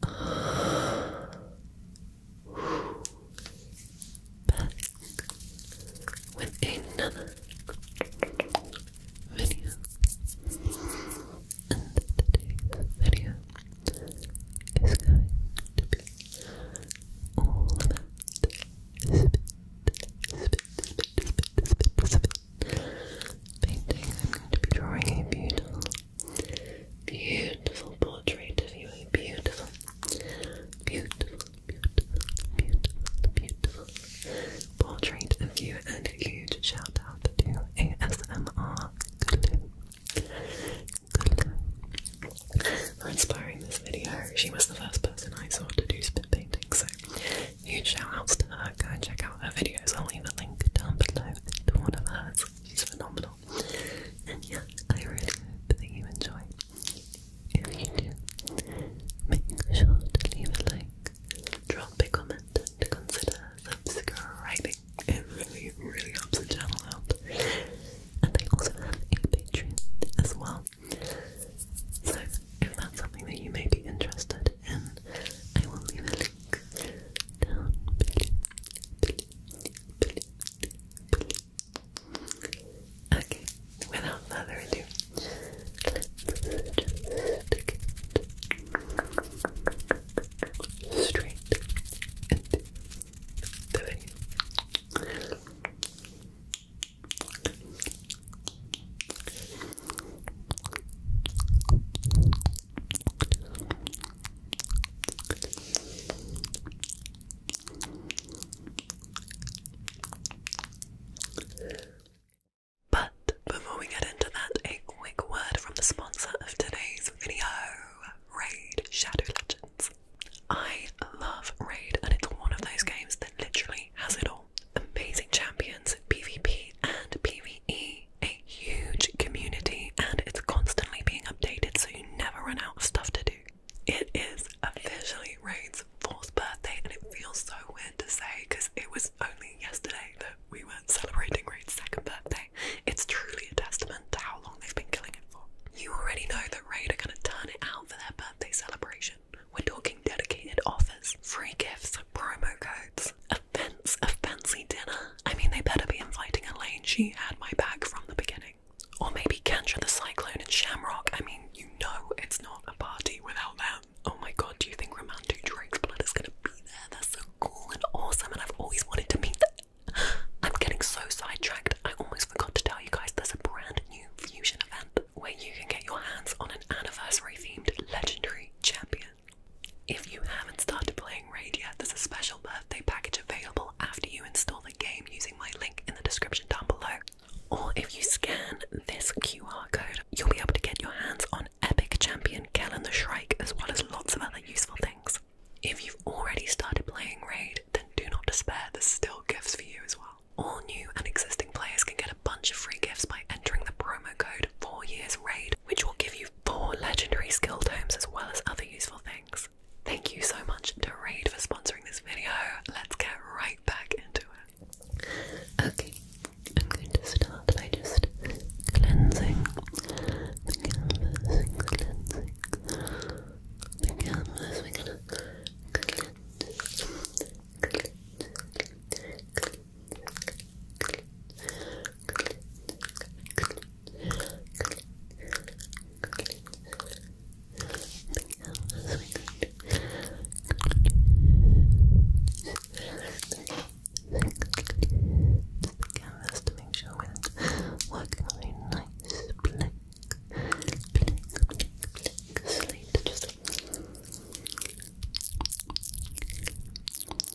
back with another video. And today's video is going to be all about spit, spit, spit, spit, spit, spit. Painting. I'm going to be drawing a beautiful Beautiful portrait of you. Beautiful. Beautiful, beautiful, beautiful, beautiful portrait of you. And a huge shout out to ASMR Glue. Glue. For inspiring this video. She was the first person I saw to do spit painting, so huge shout outs to her go and check out her videos. I'll leave a link down below to one of hers. She's phenomenal. And yeah, I really hope that you enjoy. If you do, make sure to leave a like, drop a comment, and consider subscribing. It really, really helps the channel out. And I also have a Patreon as well. So if that's something that you may be interested in, I will leave a link Okay, without further ado, straight into the video. But before we get into that, a quick word from the sponsor of today's video, Raid Shadow Legends. I love Raid, and it's one of those games that literally has it all amazing champions, PvP and PvE a huge community and it's constantly being updated so you never run out of stuff to do. It is officially Raid's fourth birthday and it feels so weird to say because it was only yesterday that we were celebrating Raid's second birthday. It's truly a testament to how long they've been killing it for. You already know that Raid are going to turn it out for their birthday celebration. We're talking dedicated offers, free gifts, promo codes, fancy dinner. I mean, they better be inviting Elaine. She had my back from the beginning. Or maybe Kendra the Cyclone and Shamrock. I mean, you know it's not a party without them. Oh my god, do you think Romantic Drake's blood is gonna be there? That's so cool and awesome, and I've always wanted to meet them. I'm getting so sidetracked. I almost forgot to tell you guys there's a brand new fusion event where you can get your hands on an anniversary themed legendary champion. If you haven't started playing Raid yet, there's a special birthday package available after you install the game using my link in the description down below. Or if you scan this QR code, you'll be able to get your hands on epic champion Kellen the Shrike as well as lots of other useful things. If you've already started playing Raid, then do not despair, there's still gifts for you as well. All new and existing players can get a bunch of free gifts by entering the promo code 4 years raid which will give you for legendary skill tomes as well as other useful things. Thank you so much to Raid for sponsoring this video. Let's get right back into it. Okay, I'm going to start by just cleansing the canvas, cleansing the canvas. We're gonna cleanse, cleanse, cleanse, cleanse, canvas to make sure we're working nice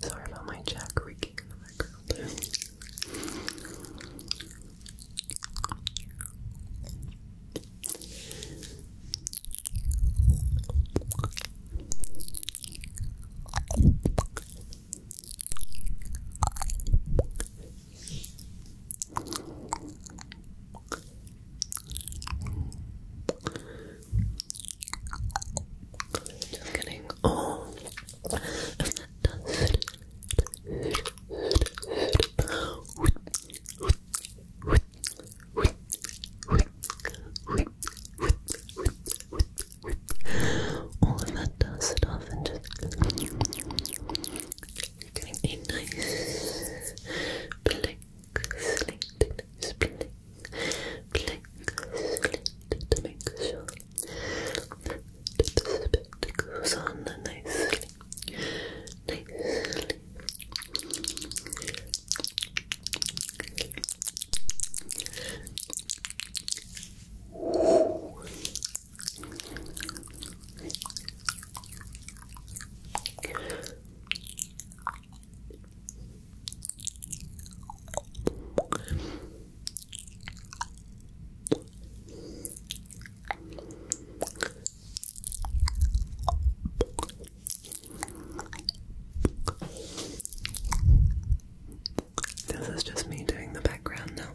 Sorry about my jack creaking in the background. Just kidding. Oh, if that does all of that does it off and just getting a nice blink slit, splitting, blink, slit to make sure that the spit goes on nicely, nicely. Good. This is just me doing the background now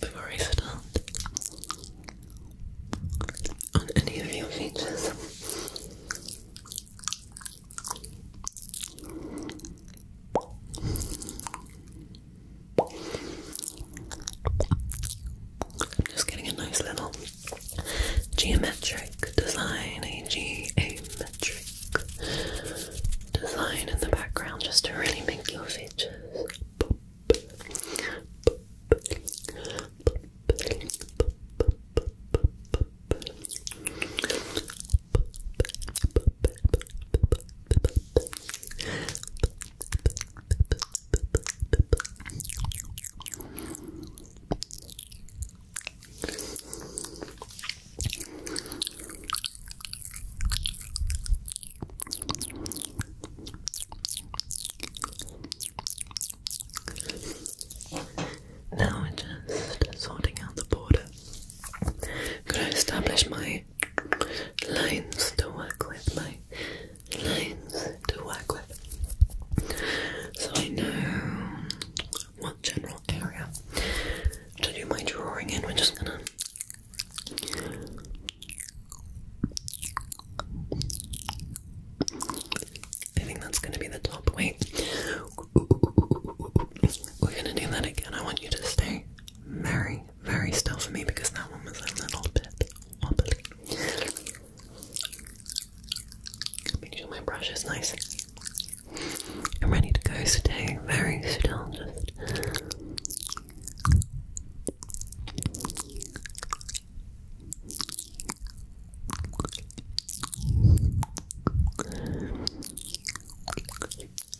before I start on any of your features. I'm just getting a nice little geometric design, a G, a design in the background just to really make your features now we're just sorting out the border. Could I establish my lines to work with? My lines to work with. So I know one general area to do my drawing in. We're just gonna I think that's gonna be the top weight. We're gonna do that again. I want you to stay very, very still for me because that one was a little bit wobbly. Make sure my brush is nice I'm ready to go, stay very still, just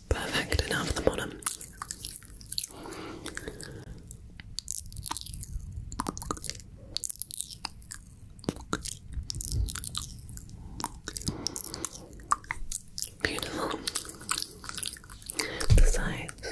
perfect, and out the bottom. Beautiful. The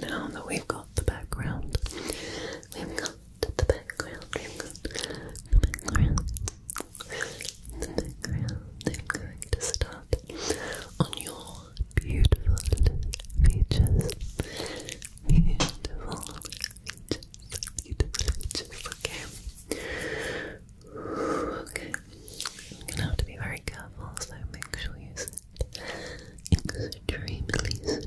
Now that we've got the background, we've got the background, the background, the background, I'm going to start on your beautiful features, beautiful features, beautiful features, okay? Okay, I'm gonna have to be very careful, so make sure you extremely still,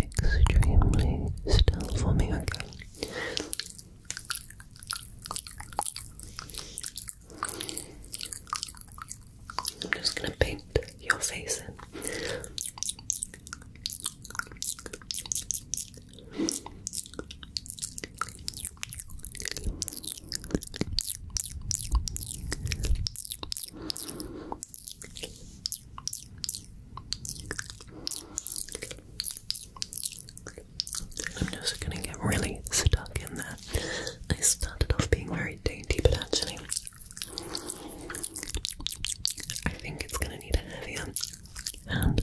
extremely still for me, I'm just gonna paint your face in. I'm just gonna get really stuck in that. I started off being very dainty, but actually, I think it's gonna need a heavier hand.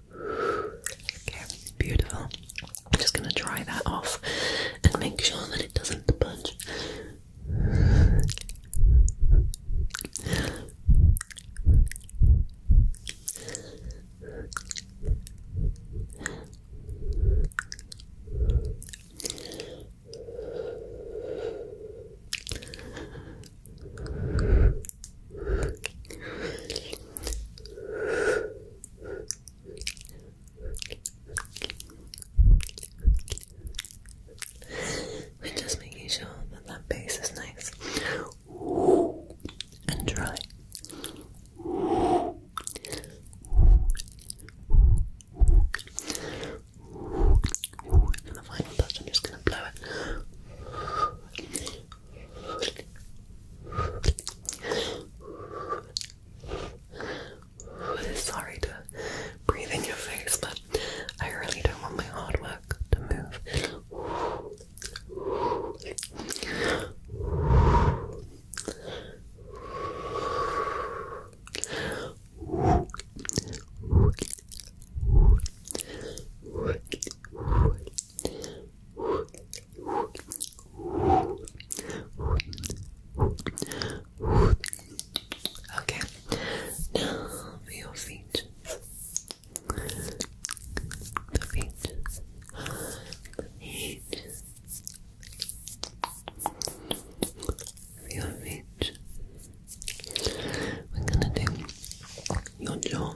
beautiful. I'm just going to dry that off and make sure that it doesn't budge. We're just making sure that that base is nice and dry. And the final touch, I'm just going to blow it. Sorry to breathe in your face, but I really don't want my hard work to move. Okay, now for The feet. The feet. For your feet. We're gonna do your jaw.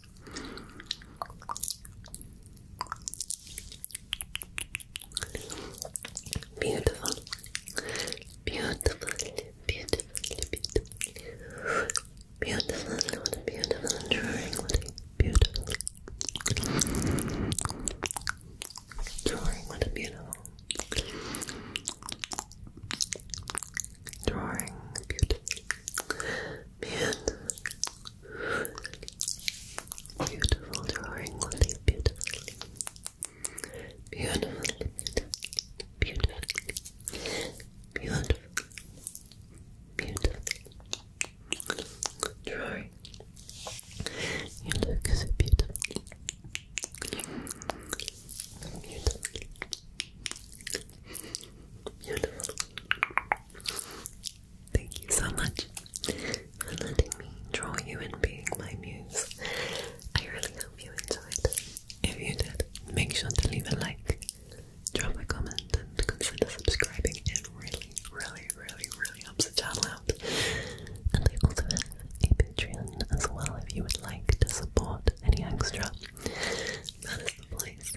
Beautiful, beautiful, beautiful, beautiful, beautiful. What a beautiful beautiful beautiful Beautiful. Beautiful drawing, Lily. Beautifully. Beautifully. Beautifully. Beautifully. Beautifully. Drawing. You look so beautiful. Beautiful. Beautiful. Thank you so much for letting me draw you and being my muse. I really hope you enjoyed. If you did, make sure to leave a like, drop a comment, and consider subscribing. It really, really, really, really helps the channel out. And I also have a Patreon as well if you would like to support any extra. That is the place